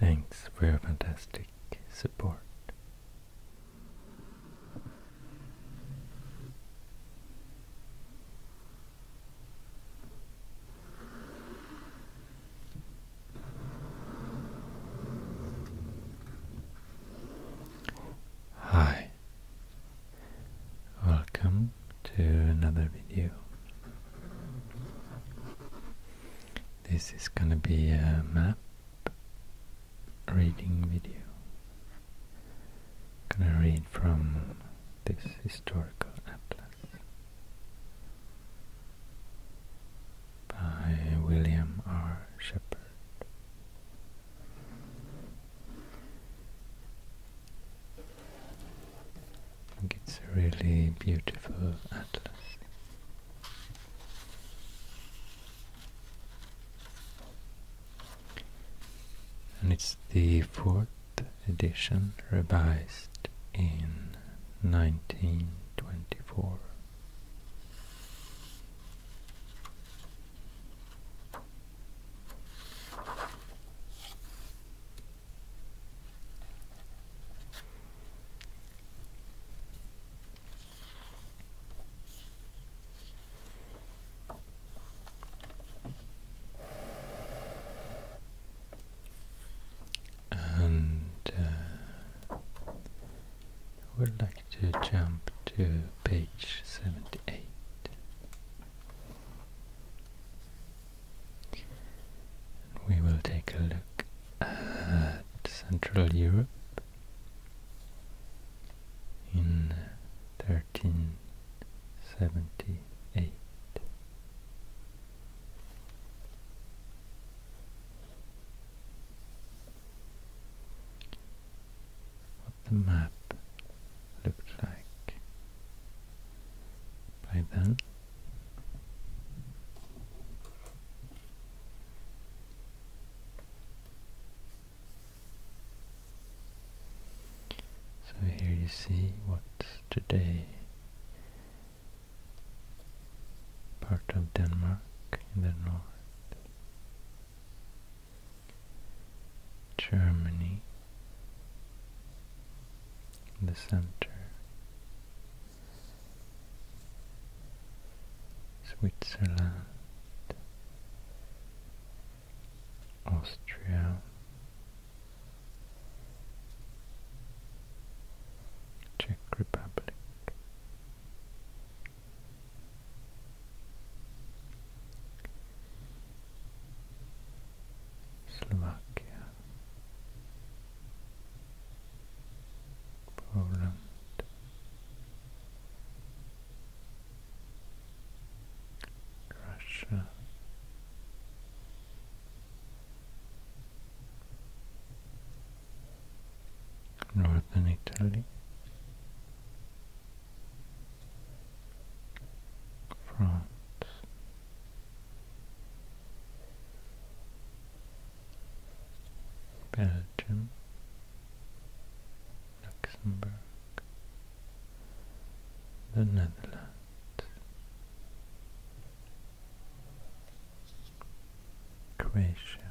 Thanks for your fantastic support. Hi, welcome to another video. This is gonna be a map reading video. i gonna read from this historical atlas by William R. Shepard. I think it's a really beautiful atlas and it's the fourth edition revised in 1924. And uh, would like to jump to page 78. We will take a look at Central Europe in 1378. What the map looked like by then. So here you see what today part of Denmark in the north, Germany in the center, Switzerland Austria, Czech Republic, Slovakia, Poland. Russia. Northern Italy, France, Belgium, Luxembourg, the Netherlands, Croatia,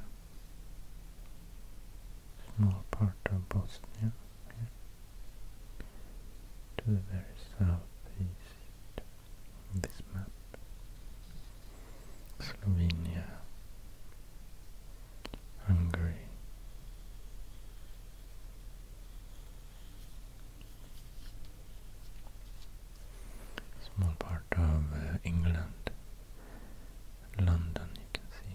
small part of Bosnia to the very southeast of this map, Slovenia, Hungary. Small part of uh, England, London you can see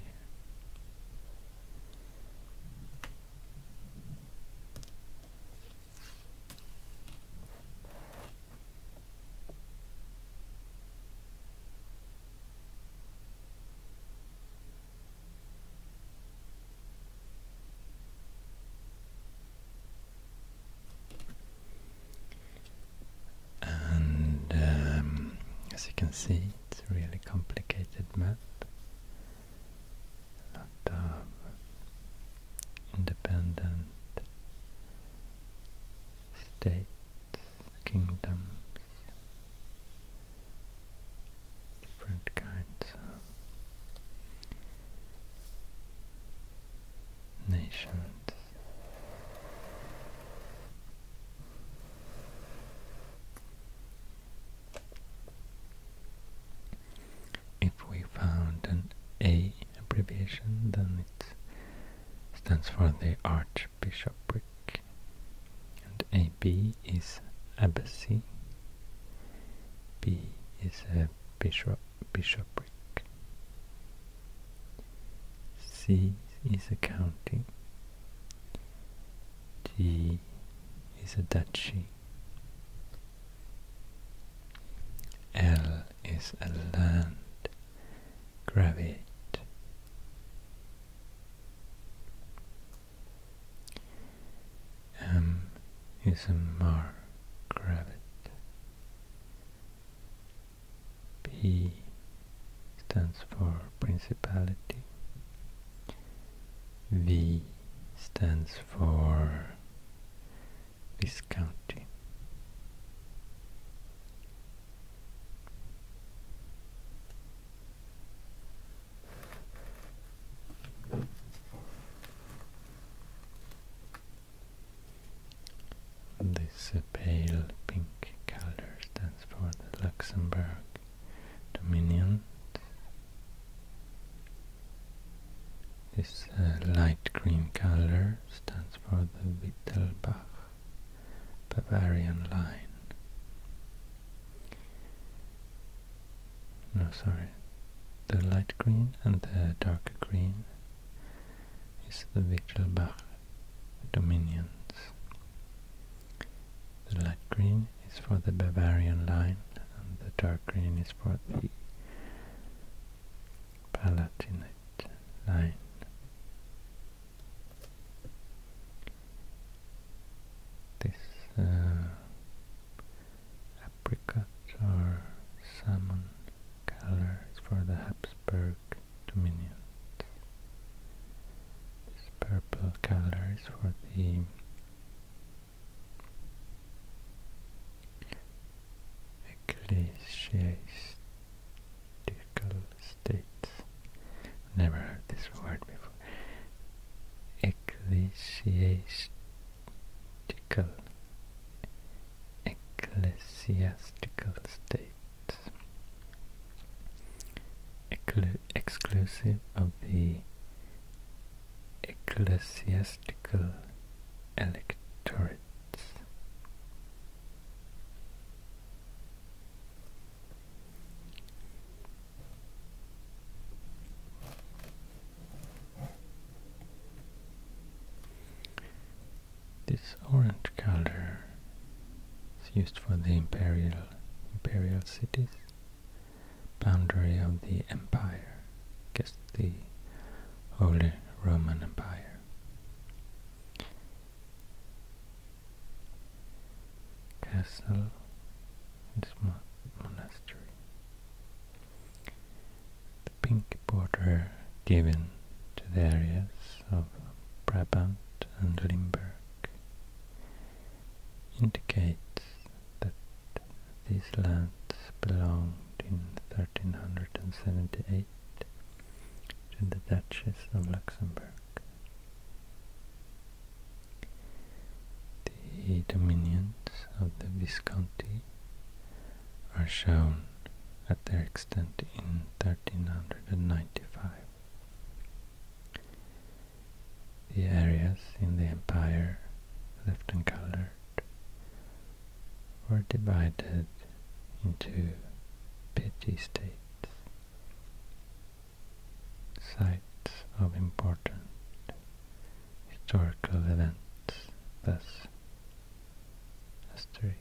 and um, as you can see, it's a really complicated map. A independent states kingdoms, different kinds nations. If we found an A abbreviation, then it stands for the Arch bishopric, and AB is abbacy, B is a bishop, bishopric, C is a county, D is a duchy, L is a land, gravate, M is a Mark rabbit. P stands for principality. V stands for this county. This pale pink color stands for the Luxembourg Dominion. This uh, light green color stands for the Wittelbach Bavarian line. No, sorry. The light green and the darker green is the Wichelbach dominions. The light green is for the Bavarian line and the darker green is for the Palatinate line. This uh, apricot or salmon color is for the Habsburg dominion. This purple color is for the ecclesiastical States. Never heard this word before. Ecclesiastical. Ecclesiastical state. exclusive of the ecclesiastical electorates. This orange color is used for the imperial imperial cities, boundary of the empire, just the Holy Roman Empire castle, this mon monastery. The pink border given to the areas of Brabant and Limburg indicates that these lands belonged in 1378 to the Duchess of Luxembourg. The dominions of the Visconti are shown at their extent in 1395. The areas in the empire left uncolored were divided into petty states sites of important historical events, thus asterisk.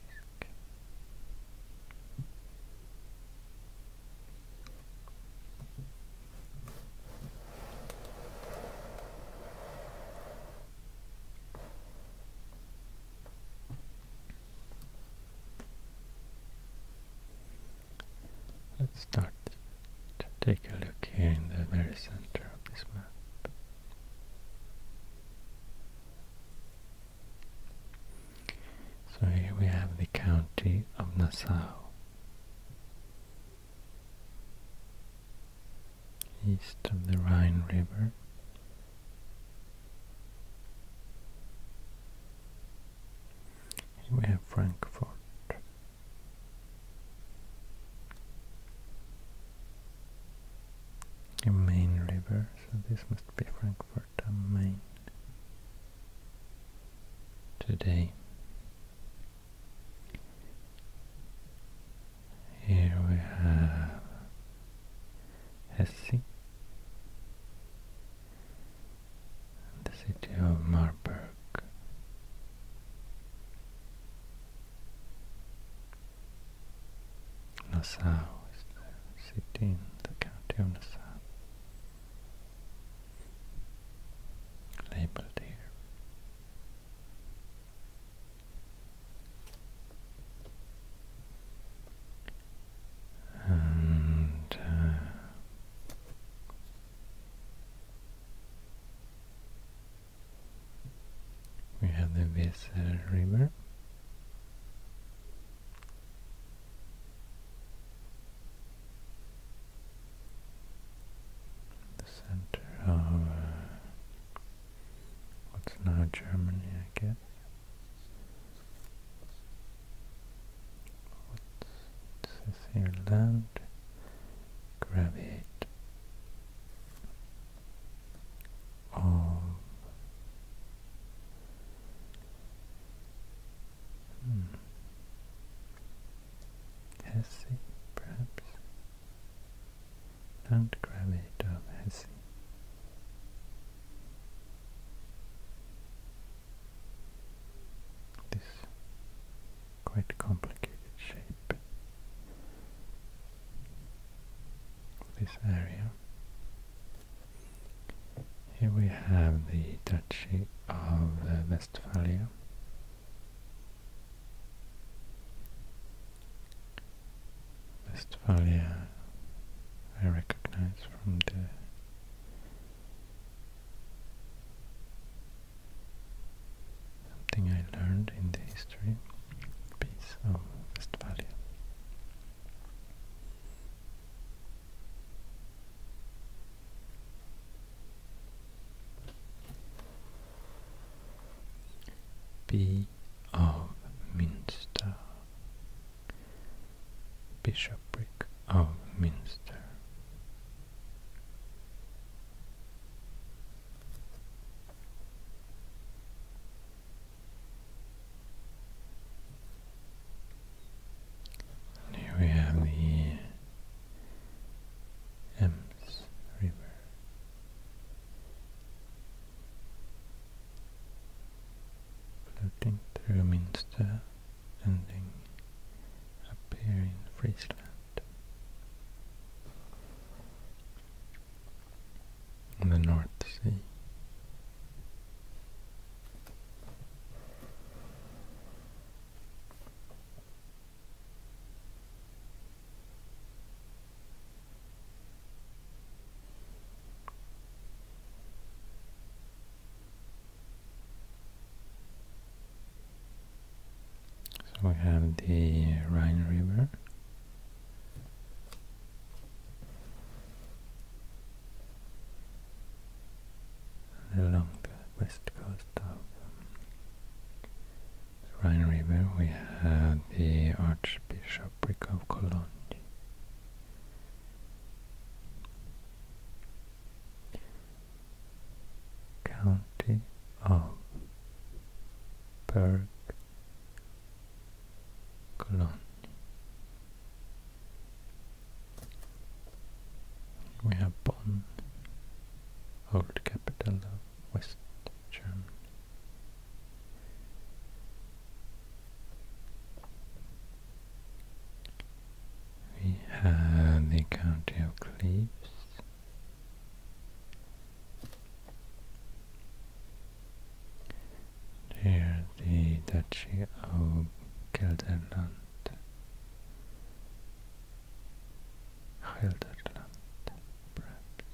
Let's start to take a look here in the very center of this map. So here we have the county of Nassau. East of the Rhine River. Here we have Frankfurt. A main river, so this must be Frankfurt am Main. Today. Here we have Hesse the city of Marburg. Nassau is the city in the county of Nassau, labeled here and uh, we have the Weser River. The center of uh, what's now Germany, I guess. What says here? Land, gravitate of Hesse, perhaps. Land Hesse this quite complicated shape this area. Here we have the duchy of uh, Westphalia. Westphalia I recognize from the Something I learned in the history piece of Westphalia. B of Münster Bishopric of Minster. here we have the Ems River. Floating through Minster, ending up here in Friesland. In the North Sea. So we have the Rhine River. Along the west coast of the Rhine River we have the Archbishopric of Cologne County of Berg We have Bonn, old capital of West Germany. We have the county of Cleves. Here the Duchy of Gelderland. Gelderland, perhaps.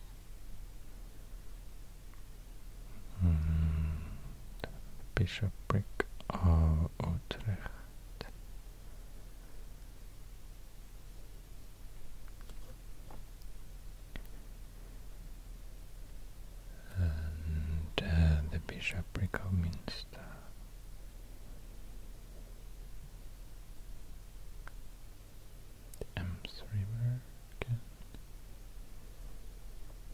Hmm. bishopric of Utrecht. And uh, the bishopric of Minster. The Ems River again.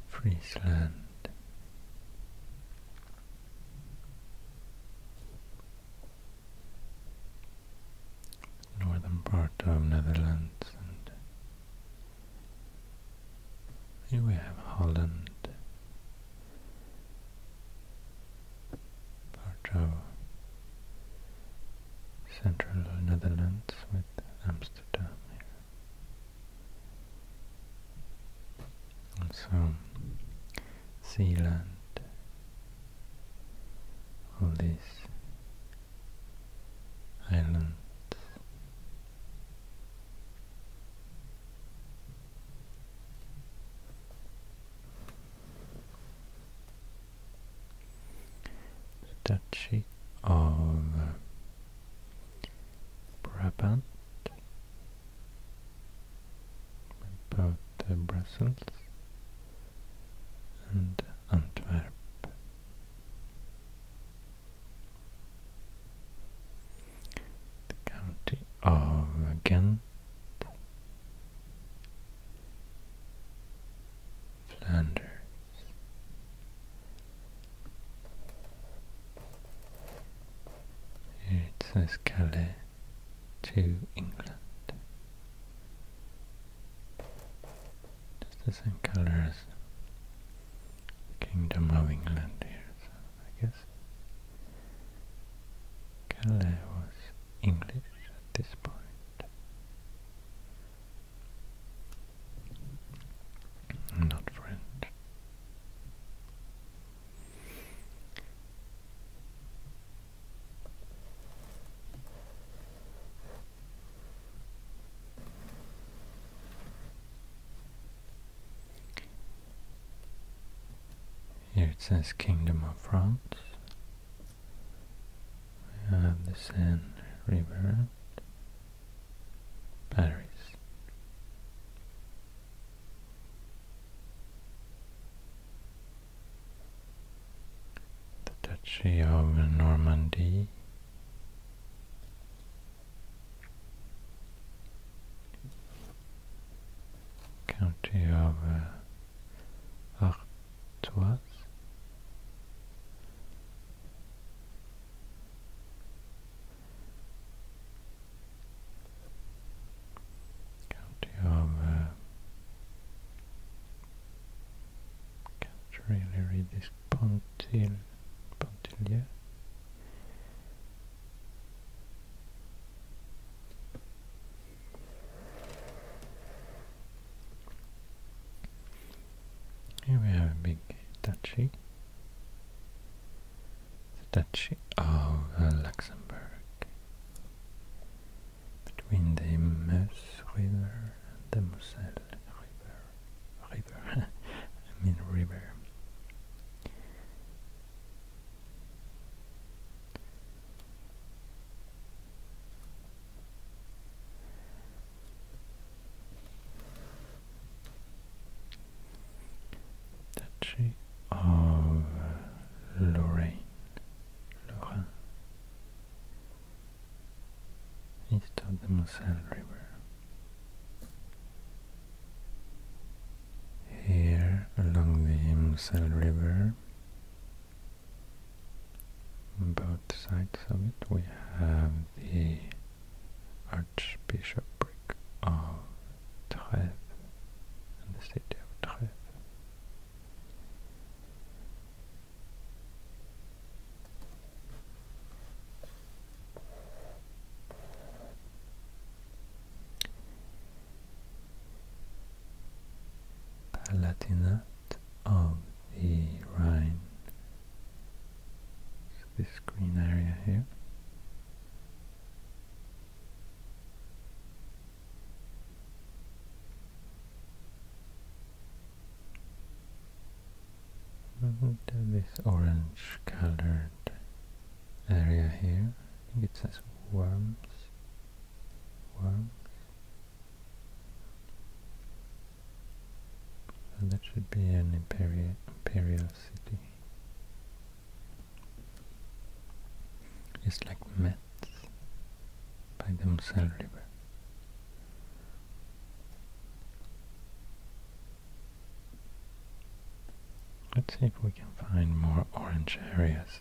Friesland. Northern part of Netherlands and here we have Holland, part of central Netherlands with Amsterdam here also Zealand, all these islands. The Duchy of Brabant, both uh, Brussels and Antwerp. The county of Ghent, Flanders, here it says Calais to England. Just the same colour as the Kingdom of England here, I guess Calais was English at this point. Not French. Here it says Kingdom of France. We have the Seine River batteries. The Duchy of Normandy County of uh, Artois County of uh, can't really read this Pontil Pontilia. Here we have a big duchy. The duchy of uh, Luxembourg. Between the Meuse River and the Moselle River. River. I mean river. Duchy of Lorraine, Lorraine, east of the Moselle River. Here, along the Moselle River, both sides of it, we have the Archbishopric of Trèves and the city of Trèves. Palatinate of the Rhine this green area here. And this orange colored area here, I think it says worms, worms, so that should be an imperial, imperial city. Just like Metz by the Moselle River. Let's see if we can find more orange areas.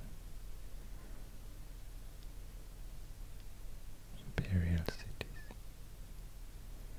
Imperial cities.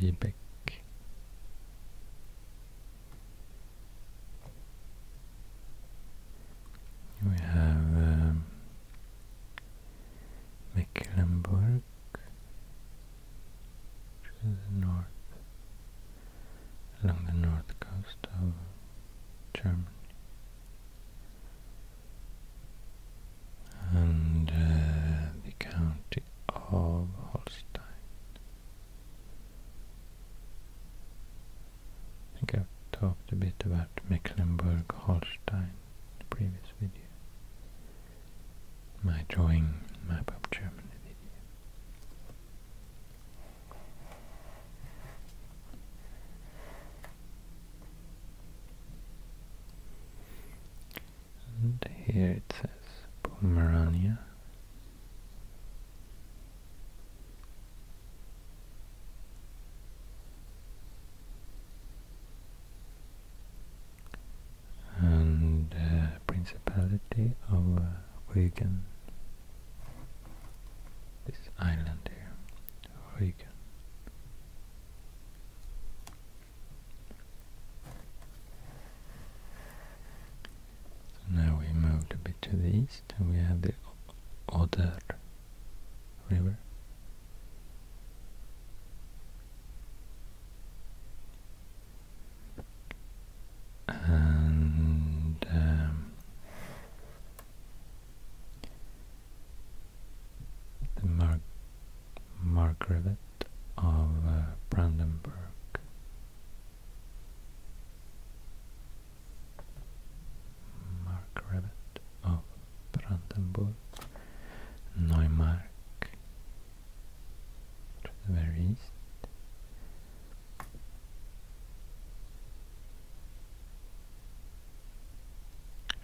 Liebeck. We have um, Mecklenburg to the north, along the north coast of Germany and uh, the county of Holstein. I think I've talked a bit about Mecklenburg-Holstein in the previous video. My drawing map of Germany video. And here it says Pomerania. And uh, Principality of uh, Wigan. This island here, Rügen. So now we moved a bit to the east and we have the Oder river. And um, the Mark Mark of uh, Brandenburg. Mark of Brandenburg. Neumark to the very east.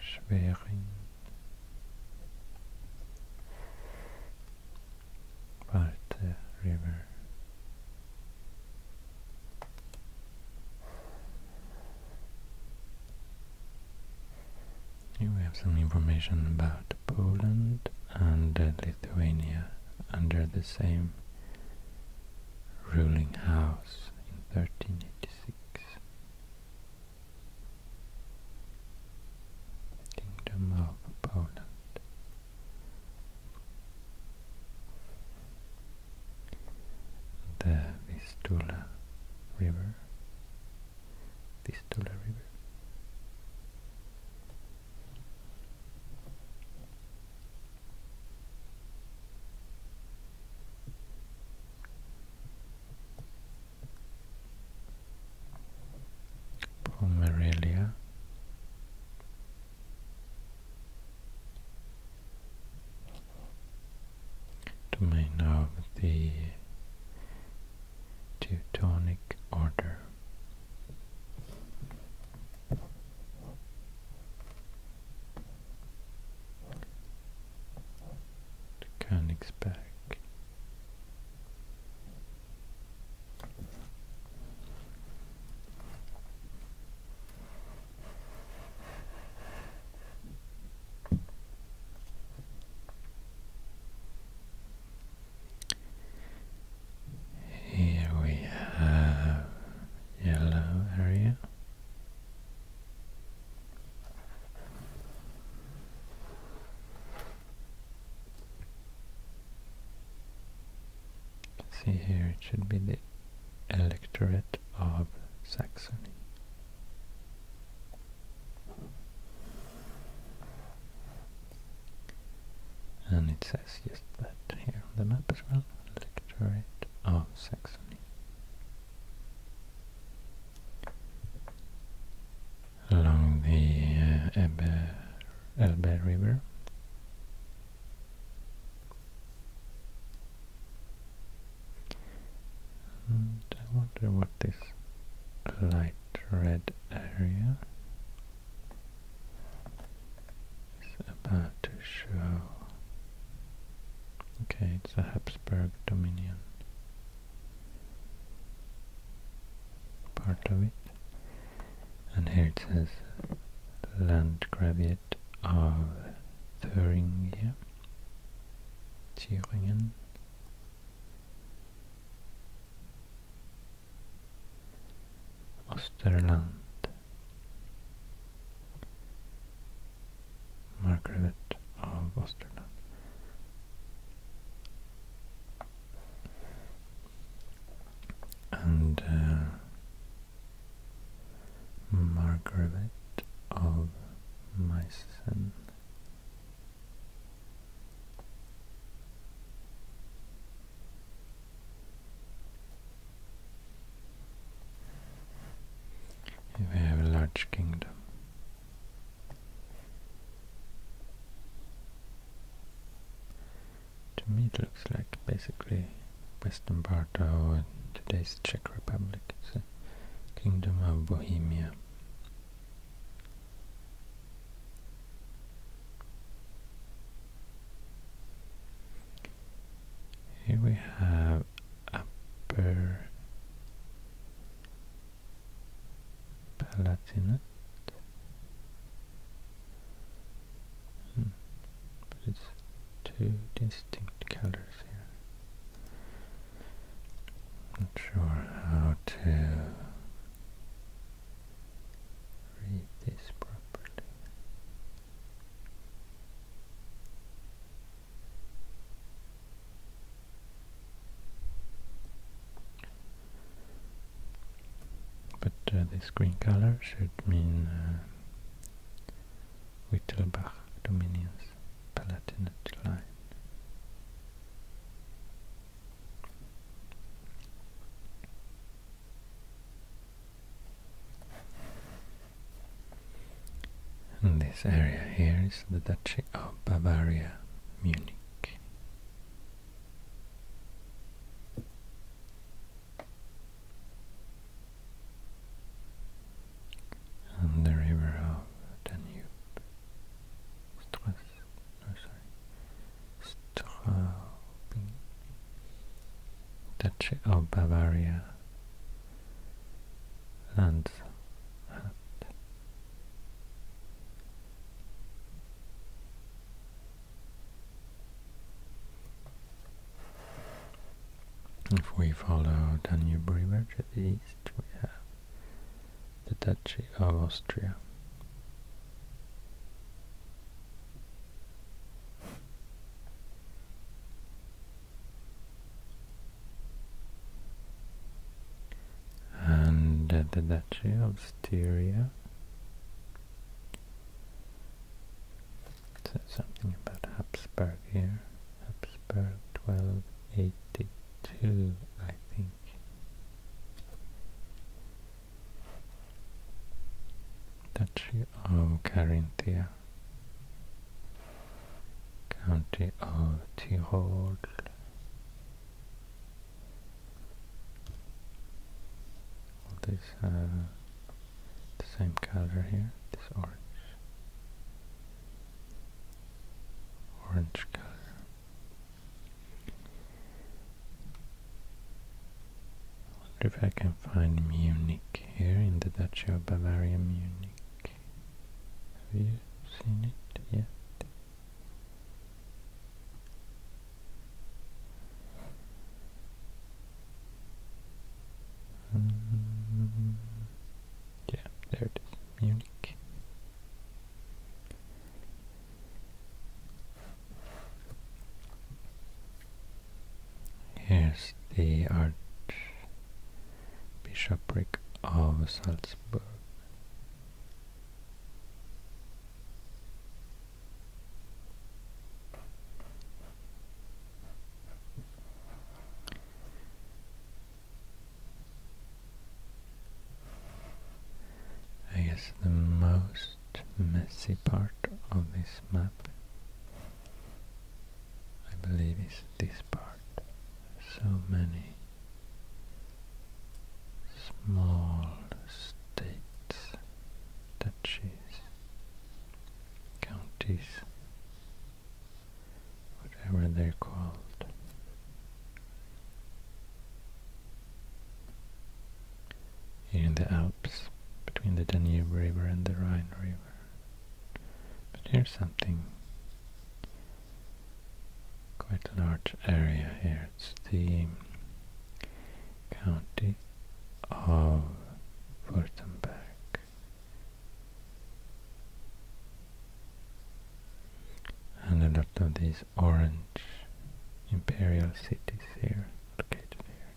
Schwering Right, uh, river. Here we have some information about Poland and uh, Lithuania under the same ruling house in 1386. Kingdom of Poland. The Vistula River, Vistula River. Pomerelia domain of the Teutonic Order. Königsberg here we have yellow area See here, it should be the electorate of Saxony. And it says just that here on the map as well, electorate of Saxony along the uh, Elbe, River. I wonder what this light red area is about to show. Okay, it's the Habsburg dominion part of it. And here it says Landgraviate of Thuringia, Thüringen. Osterland, Margaret of Osterland and uh, Margaret of Meissen. We have a large kingdom. To me it looks like basically western part of today's Czech Republic. It's kingdom of Bohemia. Here we have upper Palatinate. Hmm. But it's two distinct colors here. Not sure how to read this properly. But uh, this green color should mean uh, Wittelbach Dominions Palatinate line. And this area here is the Duchy of Bavaria Munich. And the river of Danube, Strass, no sorry, Straubing, Duchy of Bavaria, and. If we follow Danube River to the east, we have the Duchy of Austria and the Duchy of Styria. It says something about Habsburg here. Habsburg 1282, I think. Duchy of oh, Carinthia. County of Tyrol. All uh, the same color here, this orange. Orange color. wonder if I can find Munich here in the Duchy of Bavaria Munich. Have you seen it yet? Mm-hmm. yeah, there it is, Munich. Here's the Archbishopric of Salzburg. I guess the most messy part of this map I believe is this part. So many small states, duchies, counties, whatever they're called. Here in the Alps, between the Danube River and the Rhine River. But here's something quite large area here. It's the county of Württemberg. And a lot of these orange imperial cities here, located here.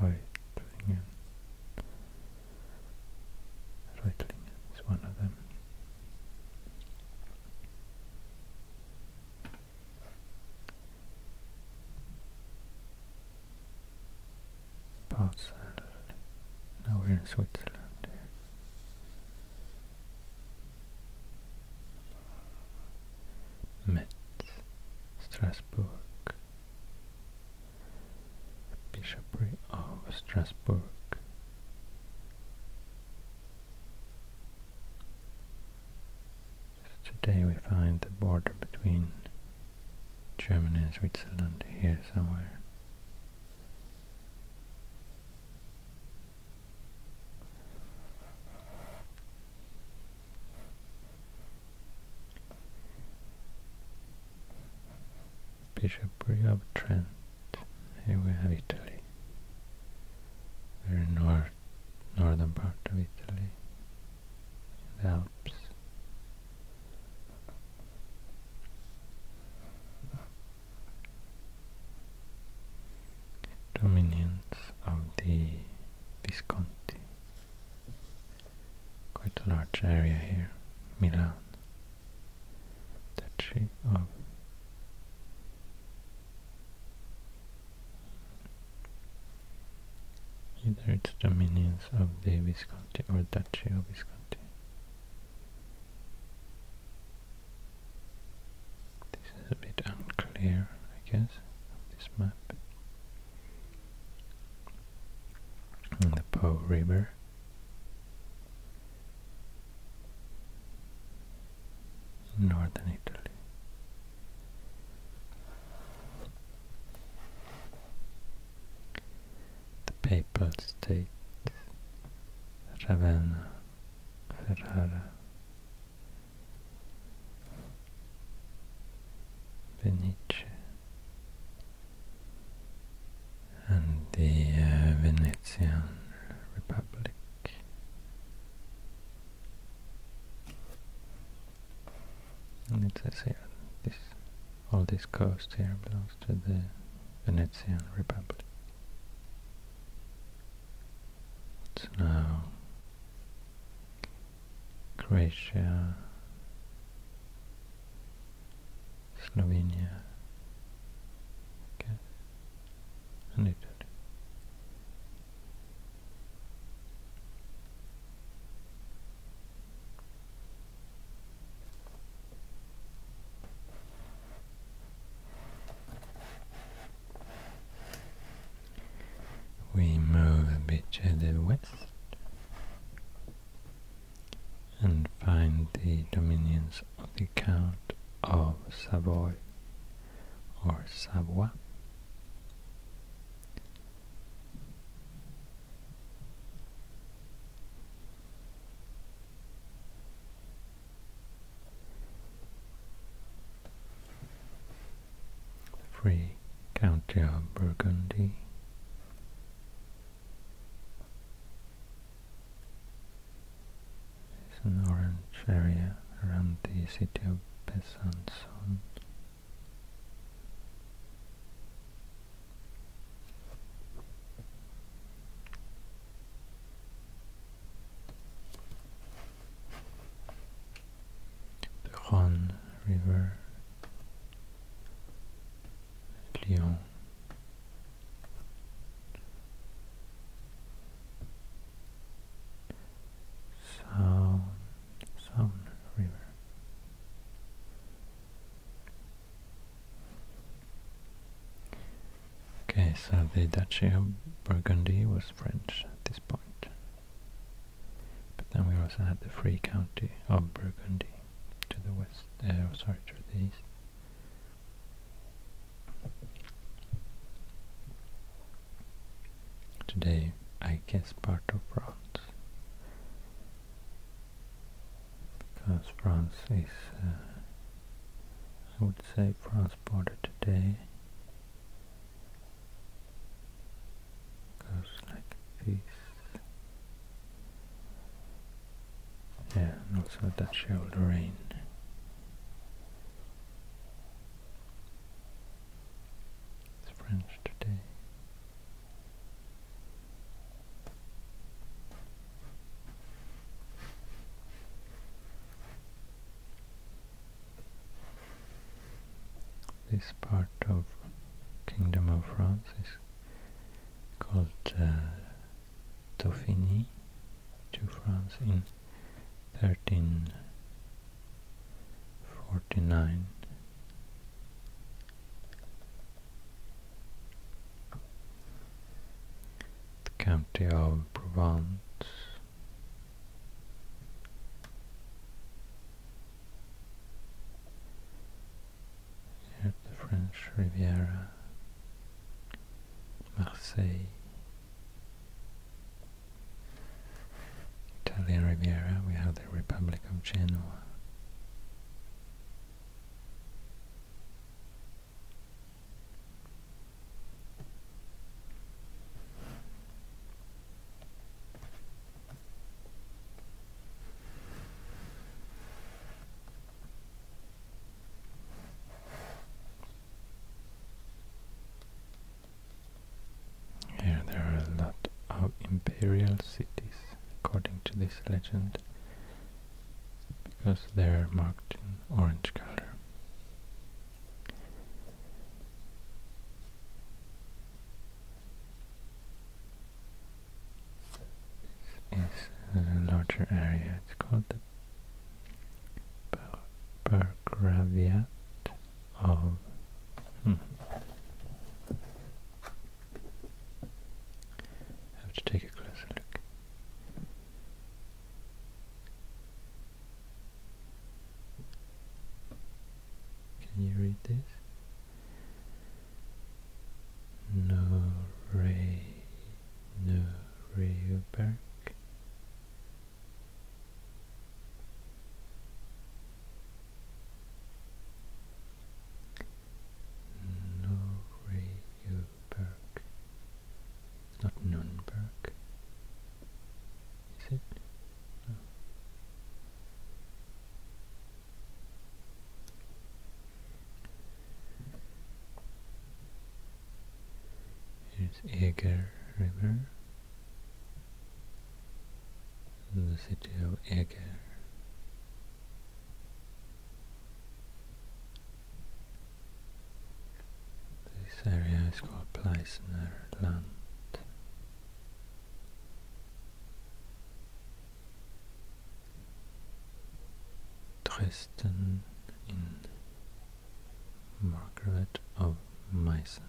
Reutlingen. Reutlingen is one of them. Basel. Now we're in Switzerland. Here. Metz, Strasbourg, Bishopry of Strasbourg. today we find the border between Germany and Switzerland here somewhere. Bishopry of Trent. Here we have Italy. Very north, northern part of Italy. The Alps. Dominions of the Visconti quite a large area here, Milan, Duchy of either its dominions of the Visconti or Duchy of Visconti. This is a bit unclear, I guess, this map and the Po River. Northern Italy. The Papal State, Ravenna, Ferrara, Venice and the uh, Venetian Republic. And it says here, all this coast here belongs to the Venetian Republic. It's now Croatia, Slovenia, okay. and Italy. We move a bit to the west and find the dominions of the Count of Savoy or Savoie. Free County of Burgundy. There's an orange area around the city of Besançon the Rhône River, Lyon. Sound, Sound River. Okay, so the Duchy of Burgundy was French at this point. But then we also had the free county of Burgundy to the west, uh, sorry, to the east. Today, I guess part of France, because France is, uh, I would say France border today goes like this yeah, and also that shoulder rain it's French today this part of Kingdom of France is called uh, to France in 1349. The county of Provence at the French Riviera, Marseille, Italian Riviera, we have the Republic of Genoa. Here there are a lot of imperial cities, according to this legend, because they are marked in orange color is a larger area. It's called the Burgraviat of hmm. Have to take a closer look. Can you read this? No Ray, no Rayberg. No Rayberg. not Nürnberg. Is it? No. Here's Eger River. The city of Eger. This area is called Pleisner land. Dresden Margaret of Meissen.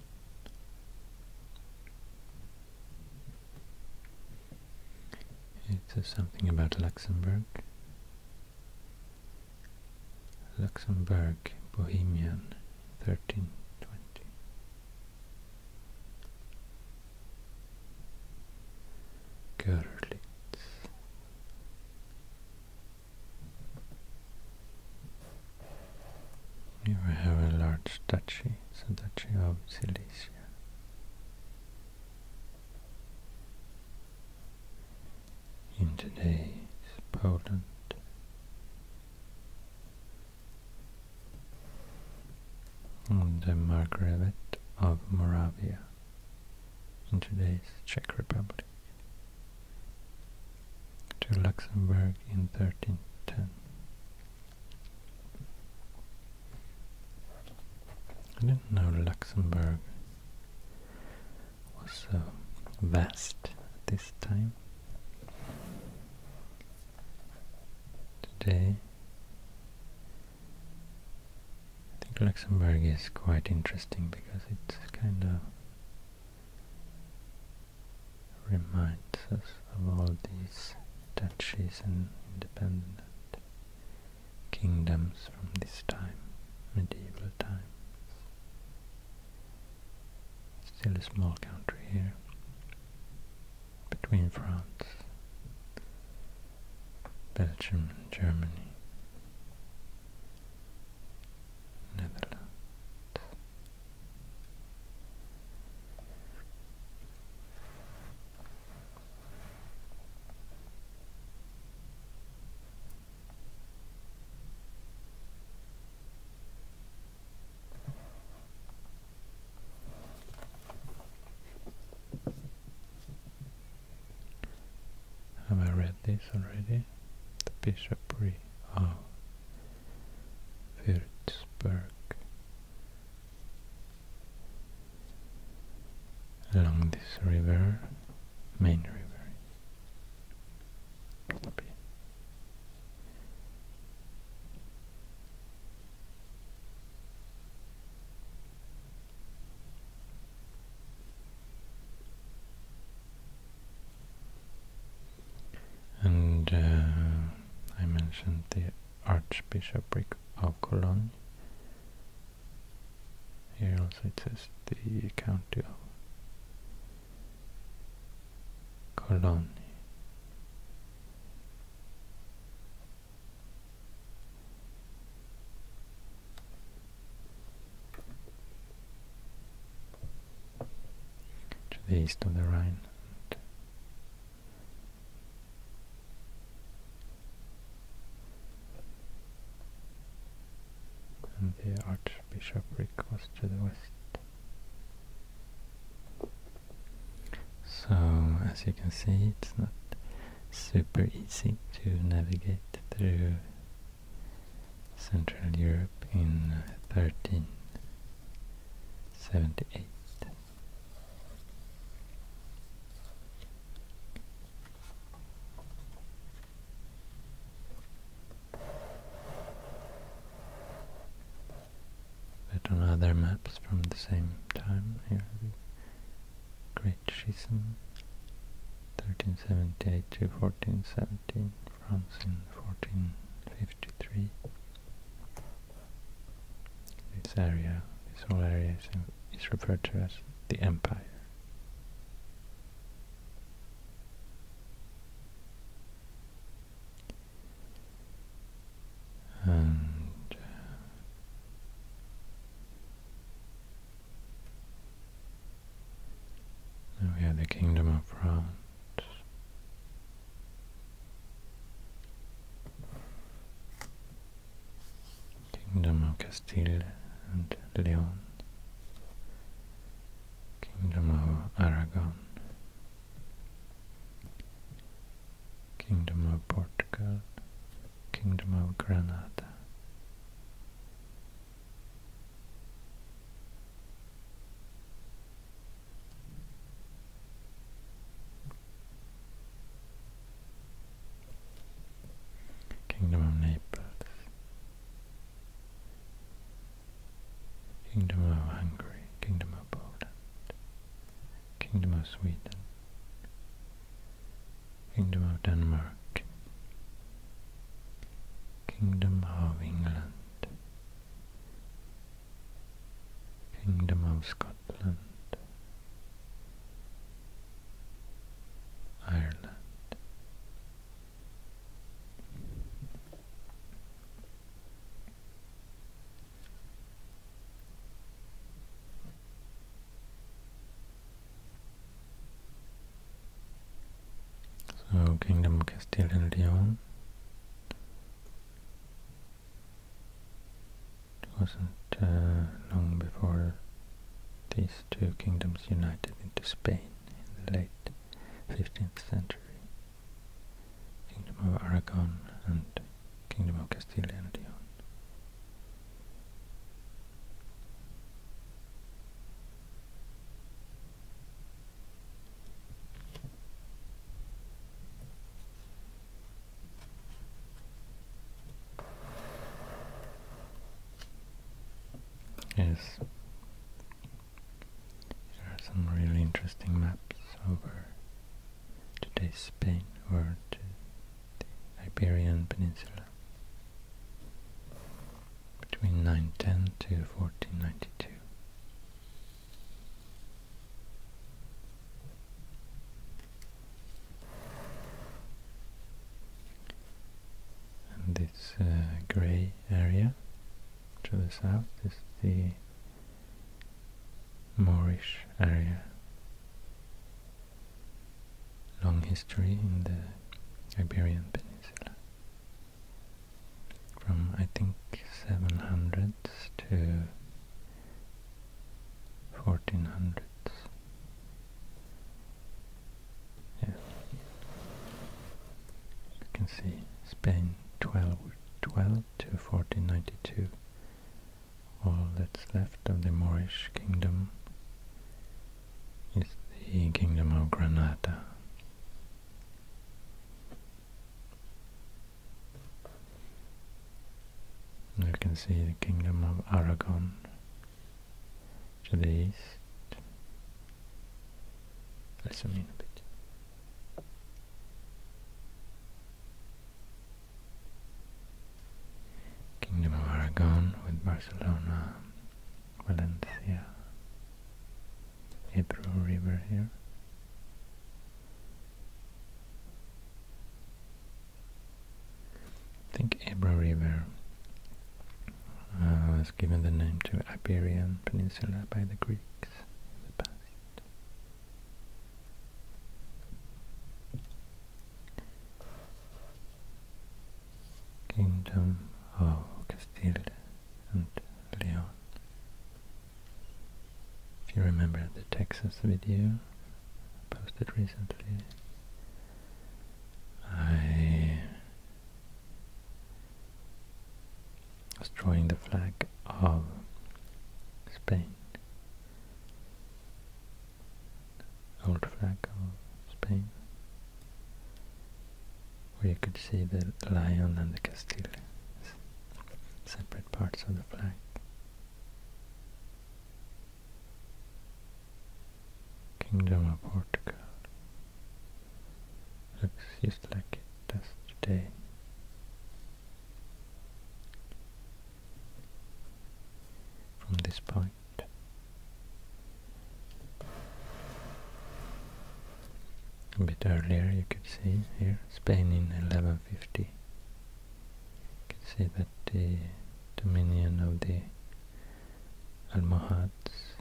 It says something about Luxembourg. Luxembourg, Bohemian, thirteen twenty. Görlitz. Here we have a large duchy, it's a duchy of Silesia. In today's Poland, and the Margravate of Moravia in today's Czech Republic to Luxembourg in 1310. I didn't know Luxembourg was so vast at this time today. I think Luxembourg is quite interesting because it kind of reminds us of all these duchies and independent kingdoms from this time, medieval times. Still a small country here, between France, Belgium and Germany, Netherlands. Have I read this already? The bishopry of oh. Würzburg along this river, main river. And uh, I mentioned the Archbishopric of Cologne. Here also it says the county of Cologne. To the east of the Rhine. And the archbishopric was to the west. So as you can see it's not super easy to navigate through Central Europe in 1378. Uh, but on other maps from the same time, Great Schism, 1378 to 1417, France in 1453. This area, this whole area is referred to as the Empire and uh, we have the Kingdom of France. Kingdom of Castile and Leon, Kingdom of Aragon, Kingdom of Portugal, Kingdom of Granada. Kingdom of Naples, Kingdom of Hungary, Kingdom of Poland, Kingdom of Sweden, Kingdom of Denmark, Kingdom of England, Kingdom of Scotland, Ireland, so Kingdom of Castile and Leon wasn't uh, long before these two kingdoms united into Spain in the late 15th century. Kingdom of Aragon and Kingdom of Castile and Leon. Yes, there are some really interesting maps over today's Spain or the Iberian Peninsula between 910 to 1492. And this uh, grey area to the south is the Moorish area. Long history in the Iberian Peninsula. From I think 700s to 1400s. Yeah you can see Spain 12, to 1492 all that's left of the Moorish kingdom is the kingdom of Granada you can see the kingdom of Aragon to the east Let's zoom in a bit. Kingdom of Aragon with Barcelona, Valencia, Ebro River here. think Ebro River uh, was given the name to Iberian Peninsula by the Greeks in the past. Kingdom of Castile and Leon. If you remember the Texas video posted recently, I was drawing the flag of Spain, old flag of Spain, where you could see the lion and the Castile, separate parts of the flag. Kingdom of Portugal Looks just like it does today. From this point. A bit earlier you could see here, Spain in 1150. You can see that the dominion of the Almohads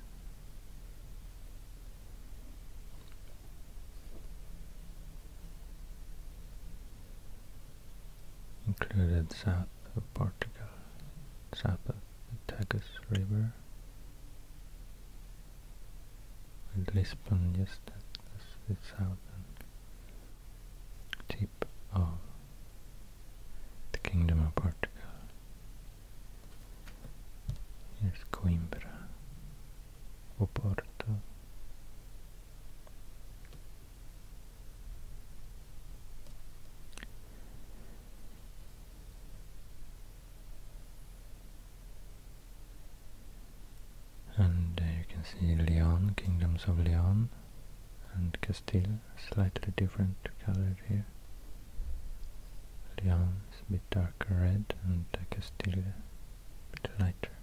Included south of Portugal, south of the Tagus River, with Lisbon just at the southern tip of the Kingdom of Portugal. Here's Coimbra, Porto, And uh, you can see Leon, kingdoms of Leon and Castile, slightly different colored here. Leon is a bit darker red and Castile, a bit lighter.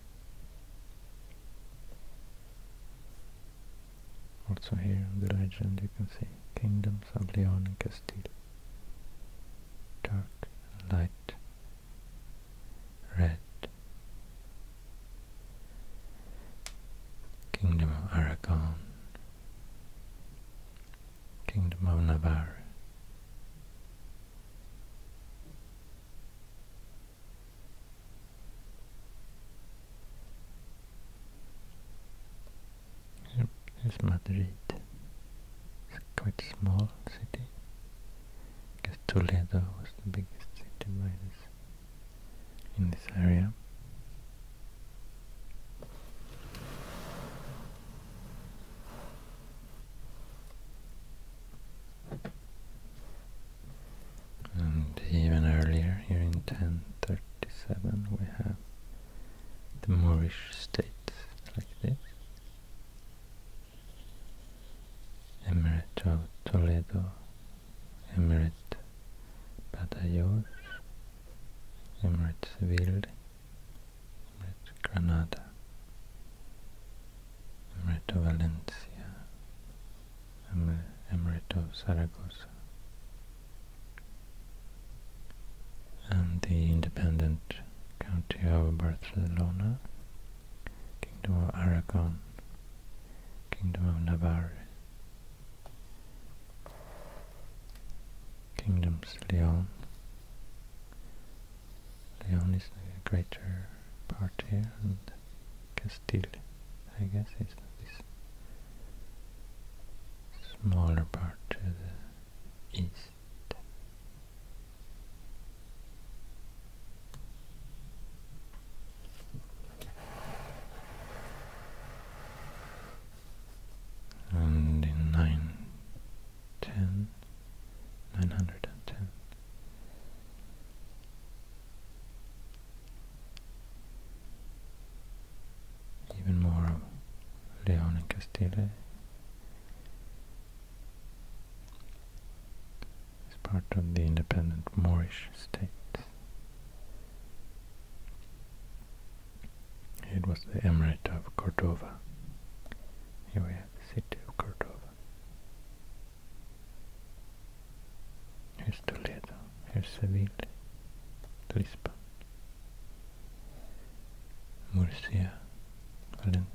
Also here on the legend you can see kingdoms of Leon and Castile. Dark, light, red. Kingdom of Aragon. Kingdom of Navarre. it's Madrid. It's a quite small city. I Toledo was the biggest city by this in this area. And even earlier, here in 1037, we have the Moorish state like this. Emirate of Toledo, Emirate of Badajoz, Emirate of Seville, Amrit Granada, of Valencia, Emirate of Zaragoza, and the independent county of Barcelona, Kingdom of Aragon, Kingdom of Navarre kingdoms Leon. Leon is the greater part here and Castile I guess is this smaller part to the east and in 910, even more of Leon and Castile is part of the independent Moorish state. It was the Emirate of Cordova. Here we have the city of Cordova. Here's Toledo, here's Seville, Lisbon, Murcia, Valencia.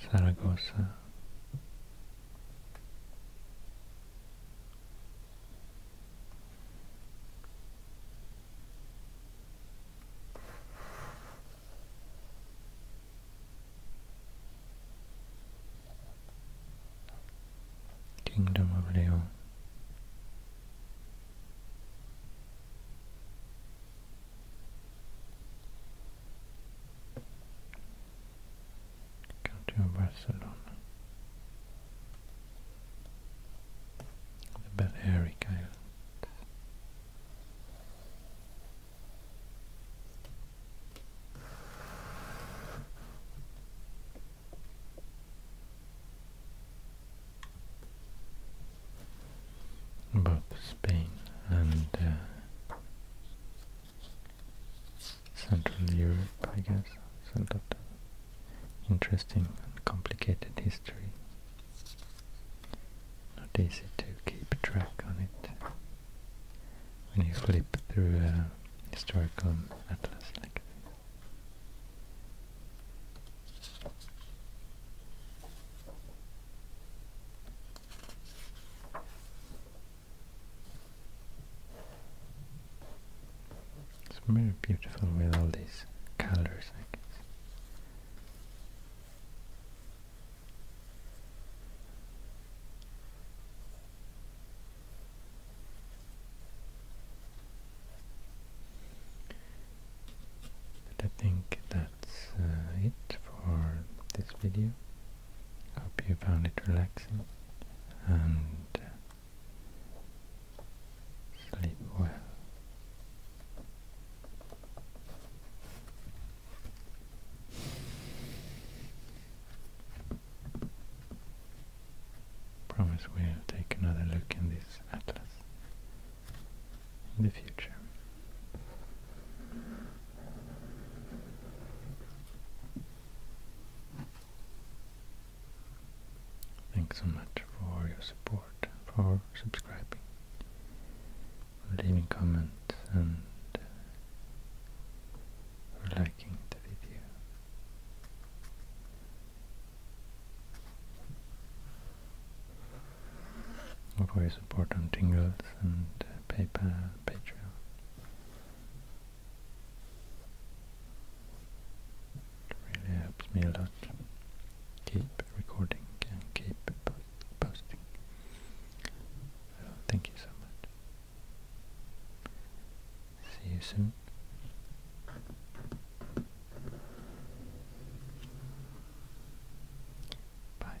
Saragossa. Kingdom of Leon Calcio Barcelona. The Balearic Islands. Both Spain and uh, Central Europe, I guess. It's a lot of interesting and complicated history. Not easy to keep track on it when you flip through a historical atlas like this. It's very beautiful with all these colors, I think that's uh, it for this video. Hope you found it relaxing and uh, sleep well. Promise we'll take another look in this atlas in the future. Thanks so much for your support, for subscribing, leaving comments and uh, liking the video or support on Tingles and PayPal, Patreon. really helps me a lot. Keep recording and keep posting. thank you so much. See you soon. Bye.